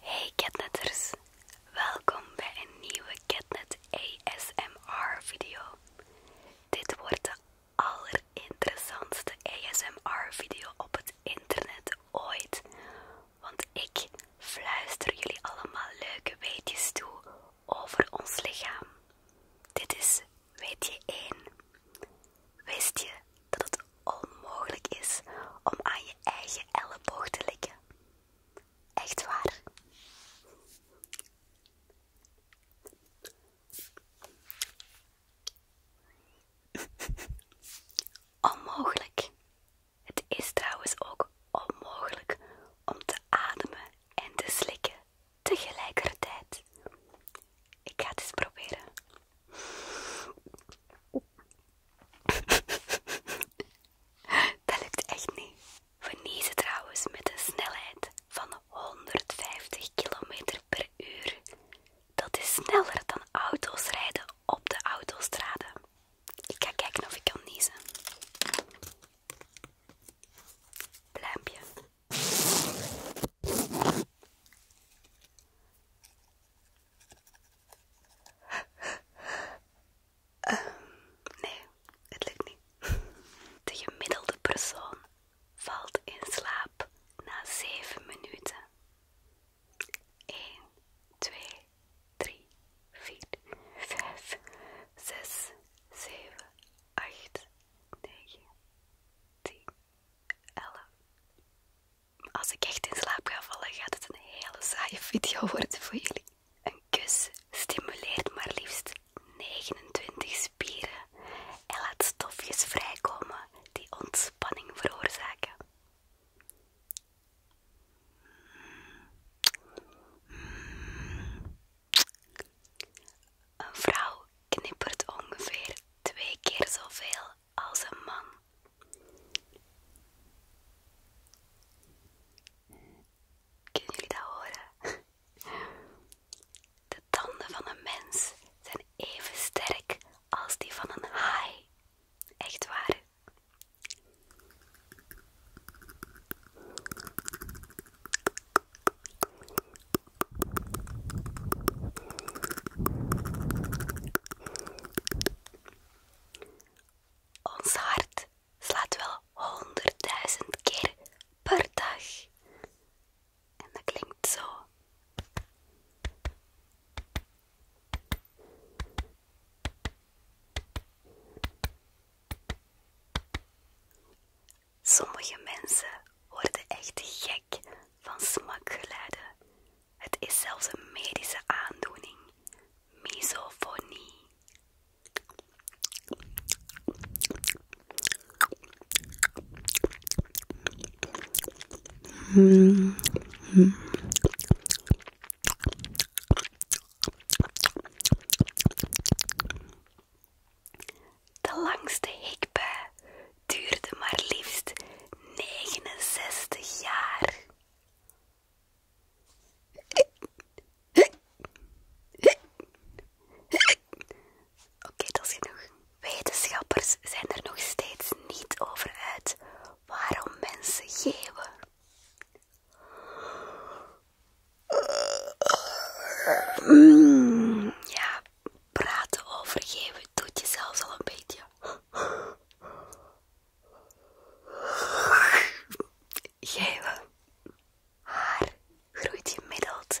Hey catnetters, welkom bij een nieuwe catnet ASMR video. Dit wordt de allerinteressantste ASMR video op het internet ooit, want ik fluister jullie allemaal leuke weetjes toe over ons lichaam. Dit is weetje 1. Wist je dat het onmogelijk is om aan je eigen elleboog te likken. Echt waar. Onmogelijk. Het is trouwens ook onmogelijk om te ademen en te slikken tegelijkertijd. Ik ga het eens proberen. Dat lukt echt niet. We niezen trouwens met een snelheid van 150 km per uur. Dat is sneller dan auto's rijden op de autostrade. Ik ga kijken of ik kan niezen. Pluimpje. Ehm, nee, het lukt niet. De gemiddelde persoon valt in slaap na 7 minuten. 1, 2, 3, 4, 5, 6, 7, 8, 9, 10, 11, als ik echt in slaap ga vallen, gaat het een hele saaie video worden voor jullie. Een kus stimuleert maar liefst 29 spieren en laat stofjes vrijkomen die ontspanning veroorzaken. Een vrouw knippert ongeveer twee keer zoveel als een man. Kunnen jullie dat horen? De tanden van een mens zijn even sterk als die van een haai. Echt waar. Ons hart slaat wel honderdduizend keer per dag. En dat klinkt zo. Sommige mensen worden echt gek van smakgeluiden. Het is zelfs een medische aandoening, misofonie. De langste hikbij duurde maar liefst 69 jaar. Oké, dat is genoeg. Wetenschappers zijn er nog steeds niet over uit waarom mensen geven. ja, praten over geven doet je zelfs al een beetje. Gele haar groeit gemiddeld 1,25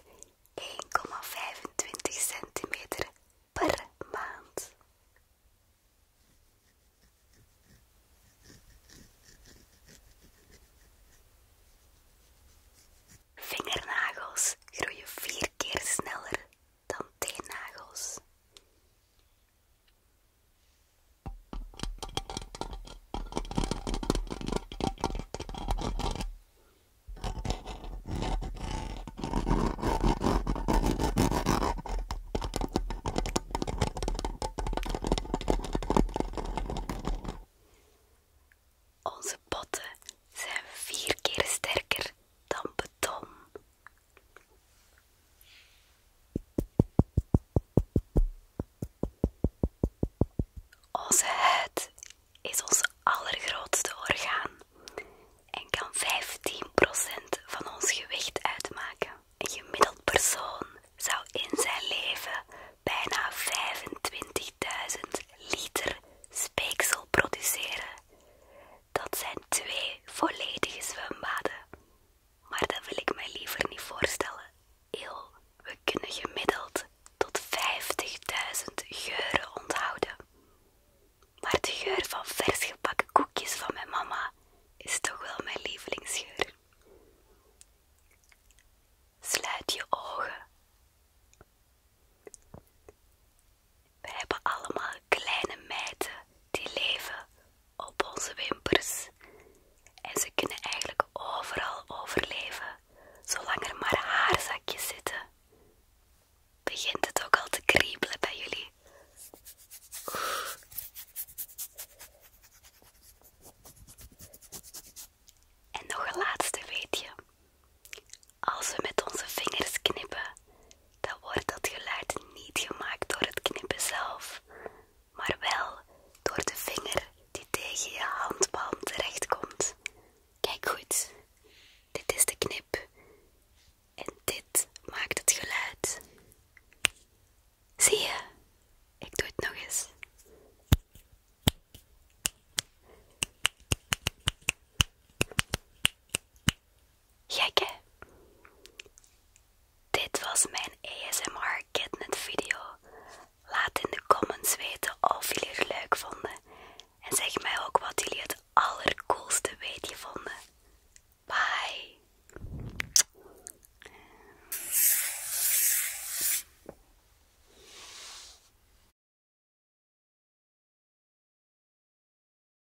centimeter per maand. Vingernagels groeien vier keer sneller dan teennagels. Onze potten zijn vier keer sterker dan beton, onze huid is ons allergrootste orgaan en kan 15% van ons gewicht uitmaken. Een gemiddeld persoon zou in zijn leven bijna 25.000 liter speeksel produceren. Dat zijn twee volledige zwembaden. Maar dat wil ik mij liever niet voorstellen. Eeuw, we kunnen gemiddeld tot 50.000 geuren onthouden. Maar de geur van vers gepakken koekjes van mijn mama is toch wel mijn lievelingsgeur. Sluit je ogen. We hebben allemaal kleine mijten die leven op onze wimpers. En ze kunnen eigenlijk overal overleven, zolang er maar haarzakjes zitten. Begint het ook al te kriebelen bij jullie? En nog een laatste weetje. Als we met onze vingers knippen, dan wordt dat geluid niet gemaakt door het knippen zelf, maar wel door de vinger die tegen je handpalm terechtkomt. Kijk goed, dit is de knip en dit maakt het geluid. Zie je? Ik doe het nog eens. Gek Dit was mijn ASMR Kidnet video. Laat in de comments weten of jullie het leuk vonden. En zeg mij ook wat jullie het allercoolste weetje vonden. Bye!